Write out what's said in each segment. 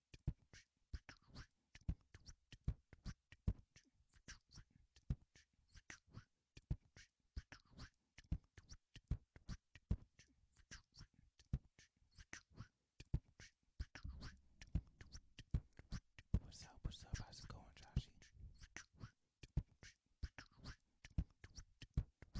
What's up? What's up? How's it going, Joshy?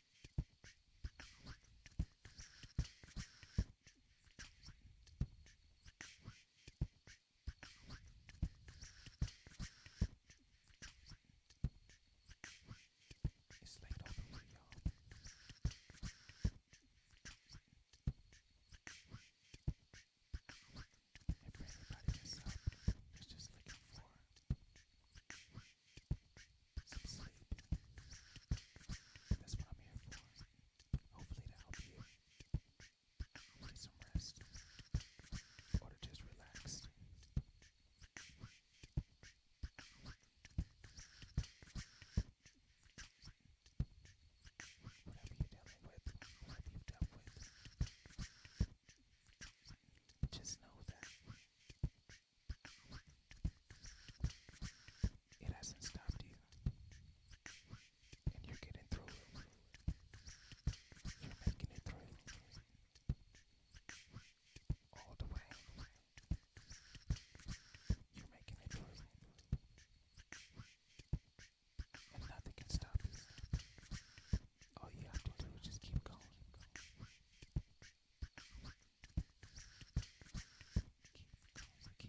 It's late on the way, y'all. If everybody gets up, it's just looking for that's what I'm here for. Hopefully to help you get some rest or to just relax. Whatever you're dealing with, whatever you've dealt with, just know that it hasn't stopped you, and you're getting through You're making it through all the way. You're making it through. Nothing can stop you. All you have to do is just keep going. Keep going, keep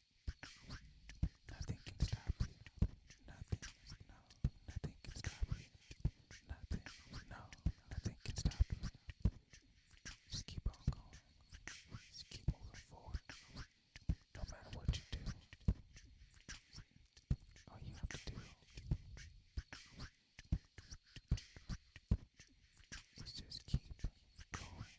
Nothing can stop you. Nothing. No. Nothing can stop you. Nothing. No. Nothing can stop you. Just keep on going. Just keep moving forward. No matter what you do. All you have to do is just keep going.